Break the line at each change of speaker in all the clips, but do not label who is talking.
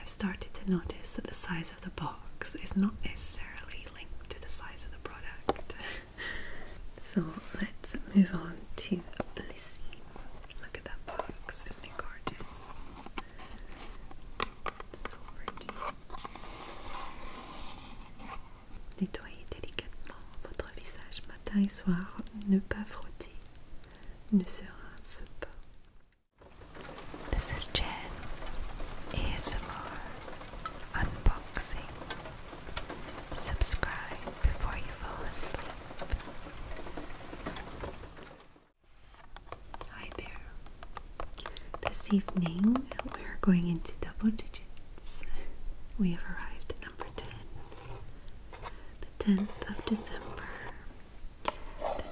I've started to notice that the size of the box is not necessarily linked to the size of the product. so let's move on to Blissy. Look at that box, isn't it gorgeous? Nettoyez délicatement votre visage matin et soir, ne pas frotter, ne se rince pas. This is Jen ASMR Unboxing. Subscribe before you fall asleep. Hi there. This evening we're going into double digits. We have arrived at number 10, the 10th of December the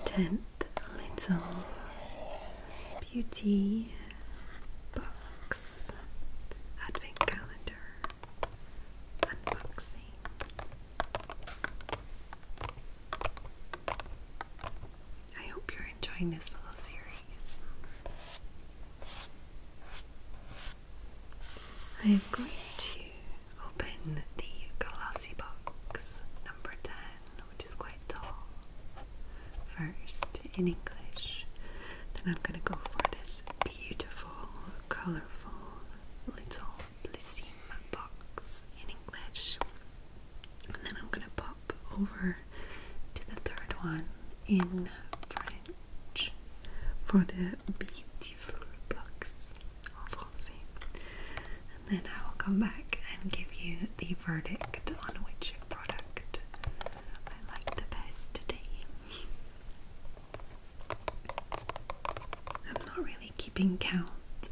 tenth little beauty box advent calendar unboxing. I hope you're enjoying this little series. I am going to open the glossy box number 10, which is quite tall, first in English. Then I'm going to go for this beautiful, colorful little Blissim box in English. And then I'm going to pop over to the third one in French for the beautiful box en français. And then I will come back and give you the verdict on which product I like the best today. I'm not really keeping count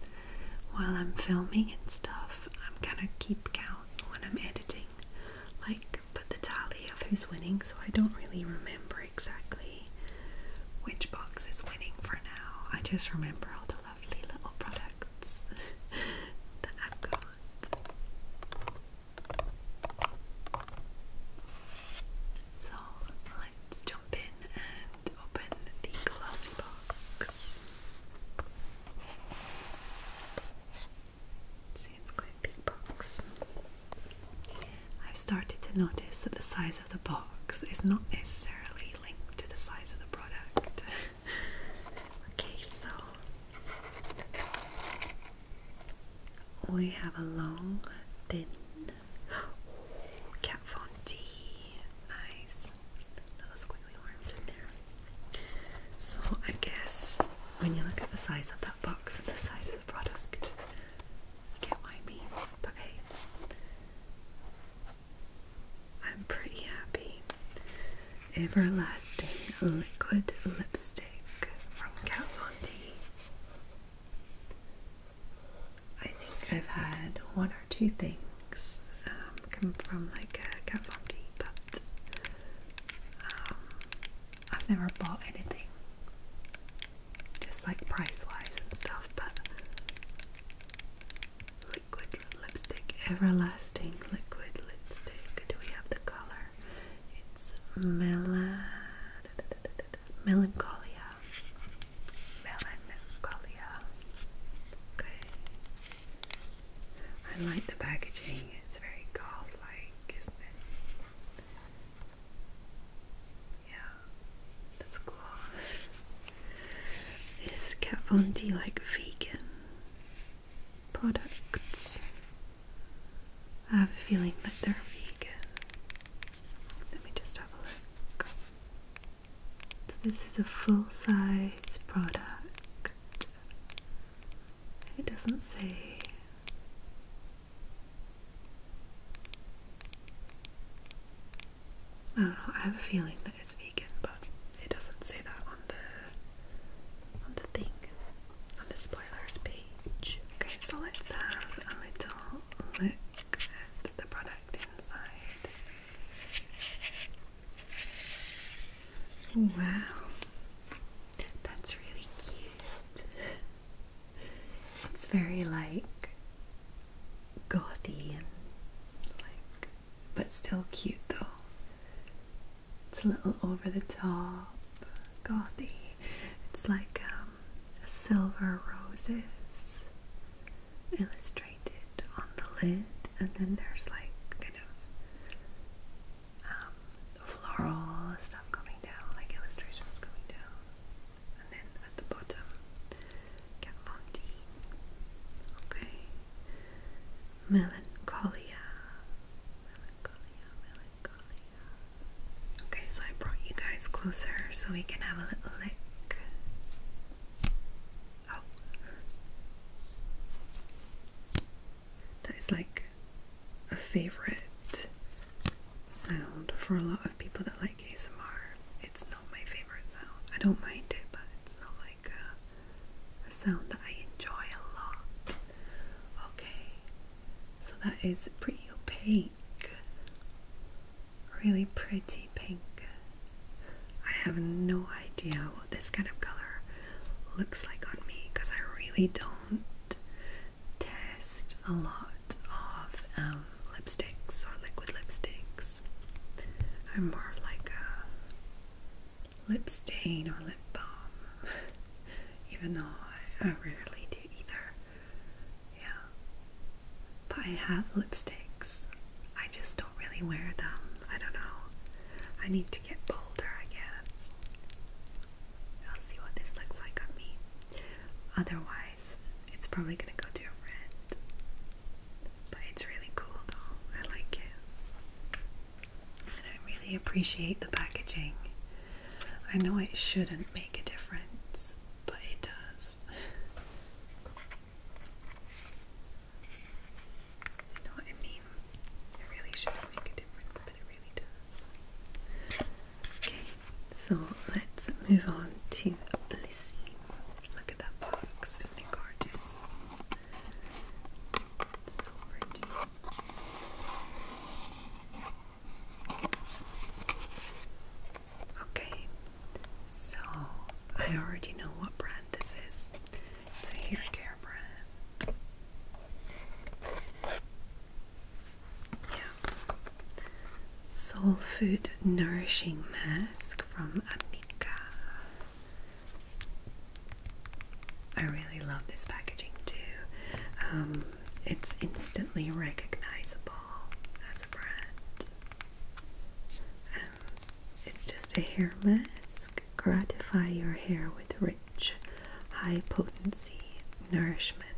while I'm filming and stuff. I'm gonna keep count when I'm editing, like put the tally of who's winning so I don't really remember exactly which box is winning for now. I just remember all the lovely little products that I've got. So let's jump in and open the glossy box. See, it's quite a big box. I've started to notice that the size of the box is not necessarily linked to the size of the product. okay, so we have a long, thin oh, Nice. Little squiggly worms in there. So I guess when you look at the size of that box and the size of the product, you get what I mean. But I'm pretty happy. Everlasting Liquid Lipstick from Kat Von D. I think I've had one or two things um, come from like a uh, Kat Von D, but um, I've never bought anything just like price wise and stuff, but liquid lipstick, everlasting liquid lipstick. Do we have the color? It's mela melancholia. Melancholia. Okay. I like the packaging. It's very gold like isn't it? Yeah, that's cool. Is Kat Von D like vegan products? I have a feeling that they're vegan. Let me just have a look. So this is a full-size product. It doesn't say I don't know, I have a feeling that it's vegan, but it doesn't say that on the on the thing. On the spoilers page. Okay, so let's have a little look at the product inside. Wow. That's really cute. It's very like gothy and like, but still cute though. It's a little over the top, gothy. It's like um, silver roses illustrated on the lid, and then there's like kind of um, floral stuff coming down, like illustrations coming down and then at the bottom Kat Von Okay. Melancholia. Melancholia, melancholia. Okay, so I brought you guys closer so we can have a little lick. Oh. That is like a favorite sound for a lot of people that like ASMR. It's not my favorite sound. I don't mind it, but it's not like a, a sound that I enjoy a lot. Okay, so that is pretty opaque. Really pretty pink. I have no idea what this kind of color looks like on me because I really don't test a lot of um, lipsticks or liquid lipsticks. I'm more like a lip stain or lip balm, even though I, I rarely do either. Yeah, but I have lipsticks. I just don't really wear them. I don't know. I need to get bolder, I guess. I'll see what this looks like on me. Otherwise, it's probably gonna go to a friend. But it's really cool though. I like it. And I really appreciate the packaging. I know it shouldn't make a difference, but it does. You know what I mean? It really shouldn't make a difference, but it really does. Okay, so let's move on to Blissey. Look at that box, isn't it gorgeous? Okay, so I already know what brand this is. It's a hair brand. Yeah. Soul Food Nourishing Mask from Amika. I really love this packaging too. Um, it's instantly recognizable as a brand. it's just a hair mask. Gratify your hair with rich high potency nourishment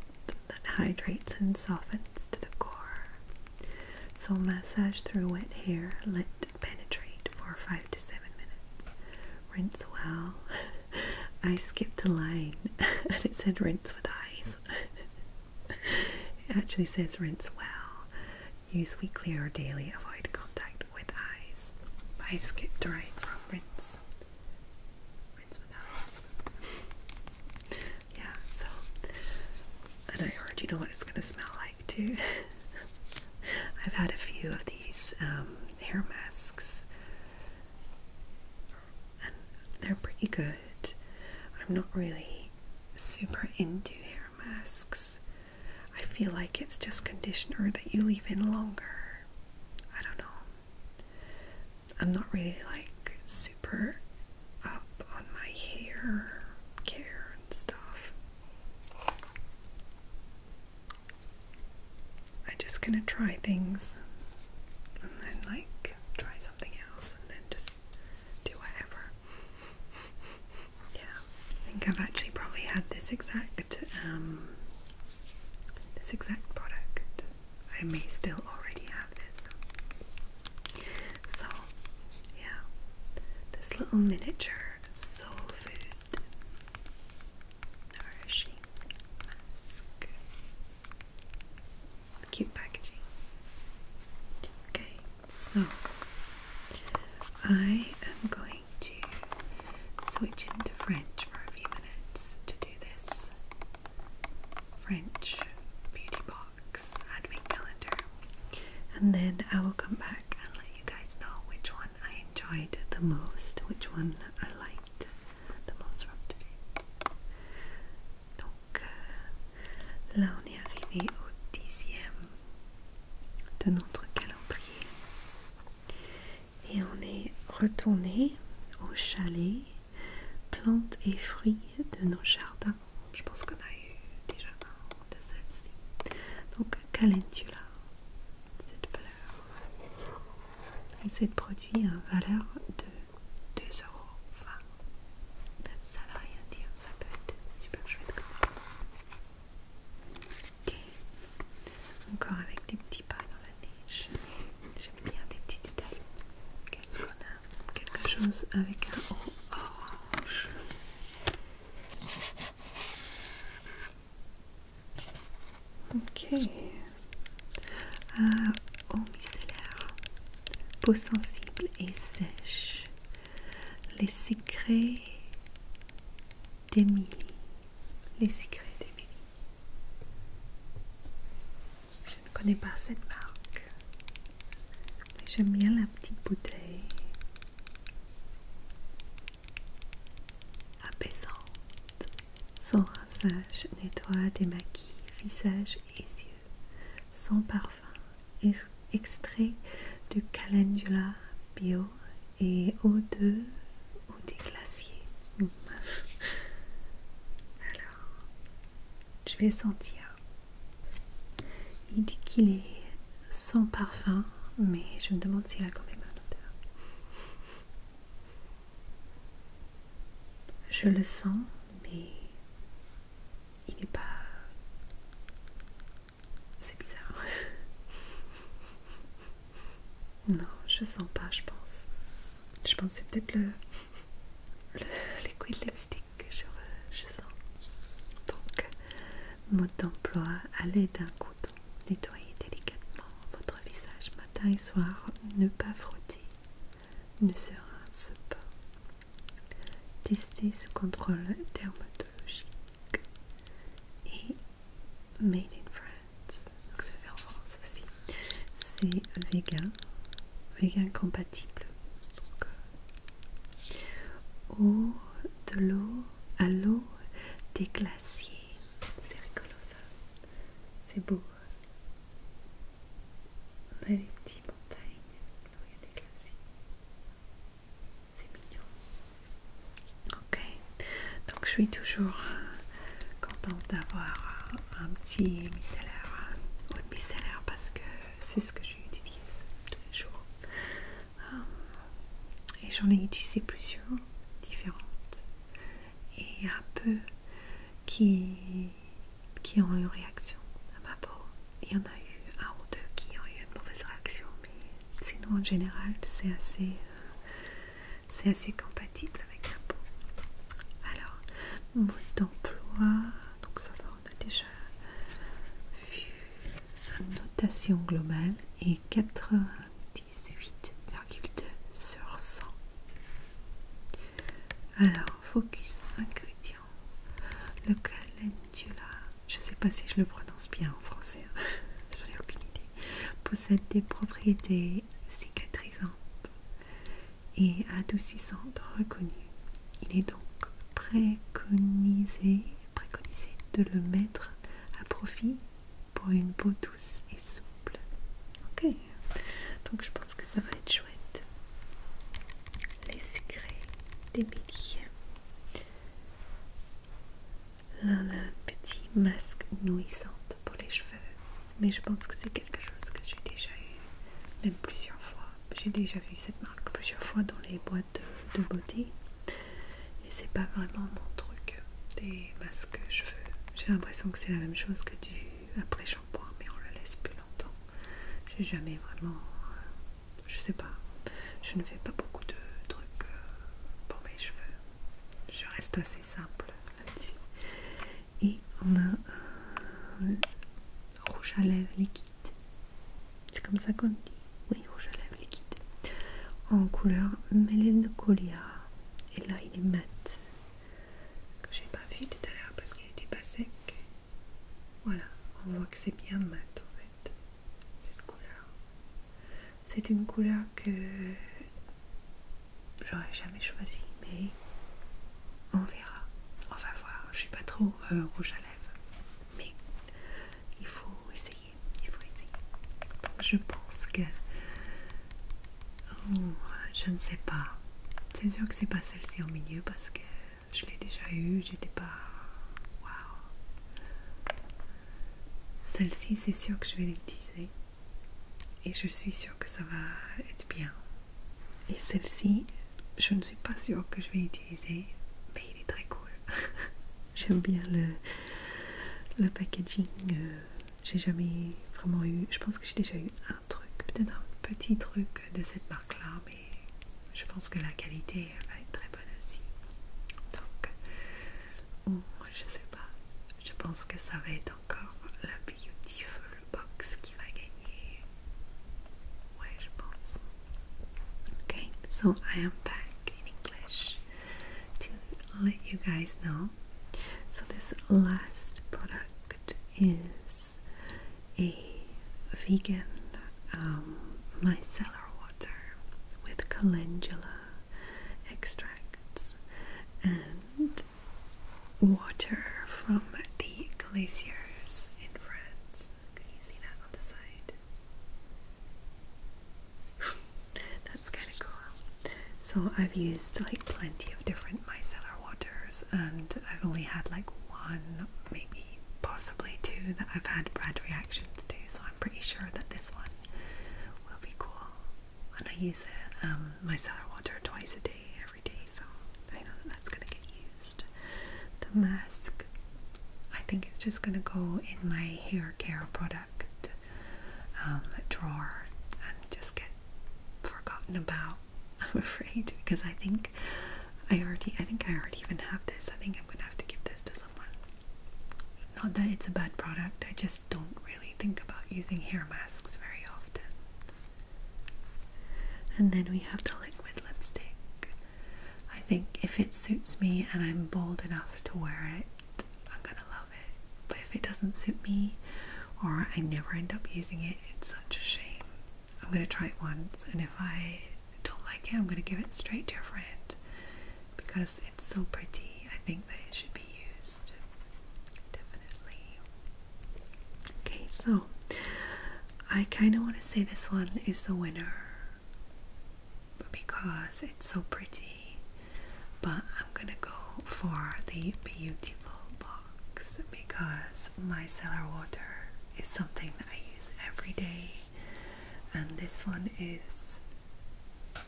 that hydrates and softens to the core. So, massage through wet hair, let it penetrate for 5 to 7 minutes. Rinse well. I skipped a line and it said rinse with eyes. it actually says rinse well. Use weekly or daily, avoid contact with eyes. I skipped the right from rinse. Wins without us. yeah, so and I heard you know what it's gonna smell like too. I've had a few of these um, hair masks, they're pretty good. I'm not really super into hair masks. I feel like it's just conditioner that you leave in longer. I don't know. I'm not really like super up on my hair care and stuff. I'm just gonna try things and then like try something else and then just do whatever. Yeah, I think I've actually probably had this exact um, this exact product. I may still already have this. So, yeah, this little miniature soul food nourishing Cute packaging. Okay, so I am going to switch into French for a few minutes to do this French beauty box advent calendar and then I will come back and let you guys know which one I enjoyed the most, which one I liked the most from today. Donc euh, là on est arrivé au dixième de notre calendrier Et on est retourné au chalet, plantes et fruits de nos jardins. Je pense qu'on a eu des jardins de celle-ci. Donc calendula, cette fleur. Et cette produit à valeur de Enfin, Ça ne rien dire, ça peut être super chouette comme Ok. Encore avec des petits pas dans la neige. J'aime bien des petits détails. Qu'est-ce qu'on a Quelque chose avec un haut orange. Ok. Ah, eau micellaire. Peau sensible et sèche. Les secrets d'Emilie. Les secrets d'Emilie. Je ne connais pas cette marque, mais j'aime bien la petite bouteille apaisante. sans rinçage nettoie, démaquille visage et yeux. sans parfum extrait de calendula bio et eau de... ou des glaciers. Alors, je vais sentir. Il dit qu'il est sans parfum, mais je me demande s'il a quand même un odeur. Je le sens, mais il n'est pas. C'est bizarre. Non, je sens pas, je pense. Je pense que c'est peut-être le, couilles de lipstick que je, sens. Donc, mode d'emploi, à l'aide d'un couteau, nettoyez délicatement votre visage matin et soir, ne pas frotter, ne se rince pas. Testez ce contrôle dermatologique et Made in France, donc ça fait en France aussi. C'est vegan, vegan compatible. Donc, euh, à l'eau des glaciers. C'est rigolo ça. C'est beau. On a des petites montagnes. Là où il y a des glaciers. C'est mignon. Ok, donc je suis toujours euh, contente d'avoir euh, un petit micellaire, euh, ou une micellaire parce que c'est ce que j'utilise tous les jours. et j'en ai utilisé plusieurs différentes et un peu qui, qui ont eu réaction à ma peau. Il y en a eu un ou deux qui ont eu une mauvaise réaction sinon en général c'est assez, euh, c'est assez compatible avec un peau. Alors, mode d'emploi, donc ça va, on déjà vu sa notation globale est 98,2 sur 100. Alors, focus ingrédient, le calendula, je ne sais pas si je le prononce bien en français, possède des propriétés cicatrisantes et adoucissantes reconnues. Il est donc préconisé, préconisé de le mettre à profit pour une peau douce et souple. Ok, donc je pense que ça va être chouette. Les secrets d'Emilie la petit masque nourrissante pour les cheveux. Mais je pense que c'est quelque chose que j'ai déjà eu, même plusieurs fois. J'ai déjà vu cette marque plusieurs fois dans les boîtes de, body beauté. Et c'est pas vraiment mon truc des masques cheveux. J'ai l'impression que c'est la même chose que du après-shampoing, mais on le laisse plus longtemps. J'ai jamais vraiment. Euh, je sais pas. Je ne fais pas beaucoup de, trucs euh, pour mes cheveux. Je reste assez simple là-dessus. Et on a un rouge à lèvres liquide. C'est comme ça qu'on dit Oui, rouge à lèvres liquide. En couleur Mélène Et là, il est mat. Que j'ai pas vu tout à l'heure parce qu'il n'était pas sec. Voilà, on voit que c'est bien mat en fait. Cette couleur. C'est une couleur que j'aurais jamais choisie, mais on verra. On va voir. Je suis pas trop euh, rouge à lèvres, mais il faut essayer. Il faut essayer. je pense que oh, je ne sais pas. C'est sûr que c'est pas celle-ci au milieu parce que je l'ai déjà eue. J'étais pas. Waouh. Celle-ci, c'est sûr que je vais l'utiliser. Et je suis sûr que ça va être bien. Et celle-ci, je ne suis pas sûre que je vais l'utiliser. Mais il est très cool. J'aime bien le, le packaging. Euh, j'ai jamais vraiment eu... Je pense que j'ai déjà eu un truc, peut-être un petit truc de cette marque-là. Mais je pense que la qualité va être très bonne aussi. Donc, je sais pas, je pense que ça va être encore la Beautiful Box qui va gagner. Ouais, je pense. Okay, so I am back in English to let you guys know. So, this last product is a vegan um, micellar with calendula extracts and water from the glaciers in France. Can you see that on the side? That's kind of cool. So I've used like plenty of different micellar waters and I've only had like one, maybe possibly two that I've had bad reactions to, so I'm pretty sure that this one will be cool. And I use um, my sour water twice a day, every day, so I know that that's going to get used. The mask, I think it's just going to go in my hair care product um, drawer and just get forgotten about. I'm afraid because I think I already I think I already even have this. I think I'm gonna have to give this to someone. Not that it's a bad product, I just don't really think about using hair masks very often. And then we have the liquid lipstick. I think if it suits me and I'm bold enough to wear it, I'm gonna love it. But if it doesn't suit me or I never end up using it, it's such a shame. I'm gonna try it once, and if I don't like it, I'm going to give it straight to your friend because it's so pretty. I think that it should be used. Definitely. Okay, so I kind of want to say this one is the winner because it's so pretty, but I'm gonna go for the beautiful box because my seller water is something that I use every day and this one is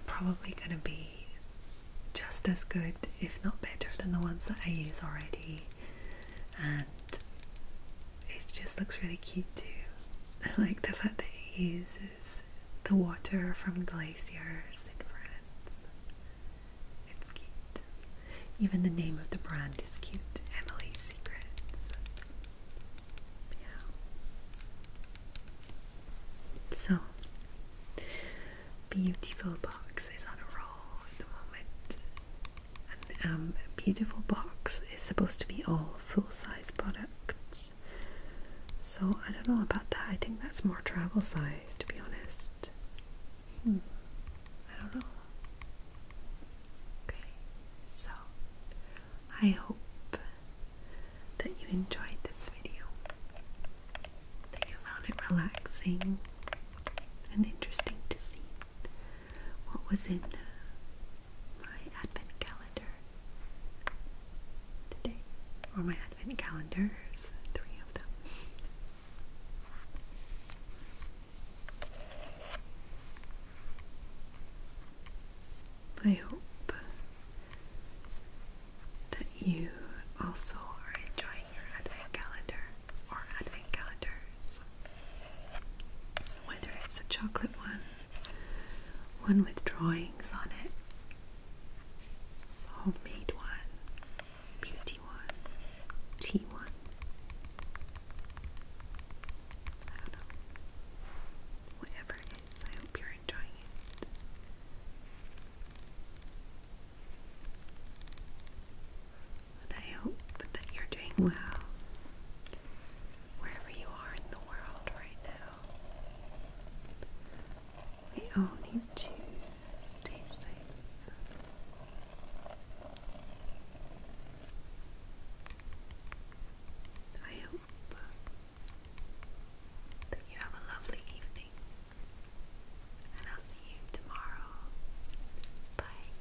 probably going to be just as good, if not better, than the ones that I use already. And it just looks really cute too. I like the fact that it uses the water from glaciers in France. It's cute. Even the name of the brand is cute Emily's Secrets. Yeah. So, beautiful box is on a roll at the moment. um, beautiful box is supposed to be all full-size products. So I don't know about that. I think that's more travel size, to be honest. Hmm. I don't know. Okay, so I hope that you enjoyed this video, that you found it relaxing and interesting to see what was in my advent calendar today, or my advent calendars, three of them. I hope that you also are enjoying your advent calendar or advent calendars. Whether it's a chocolate one, one with drawings on it, homemade one, beauty one, tea one. I don't know. Whatever it is, I hope you're enjoying it. I hope that you're doing well wherever you are in the world right now. We all need to stay safe. I hope that you have a lovely evening, and I'll see you tomorrow. Bye.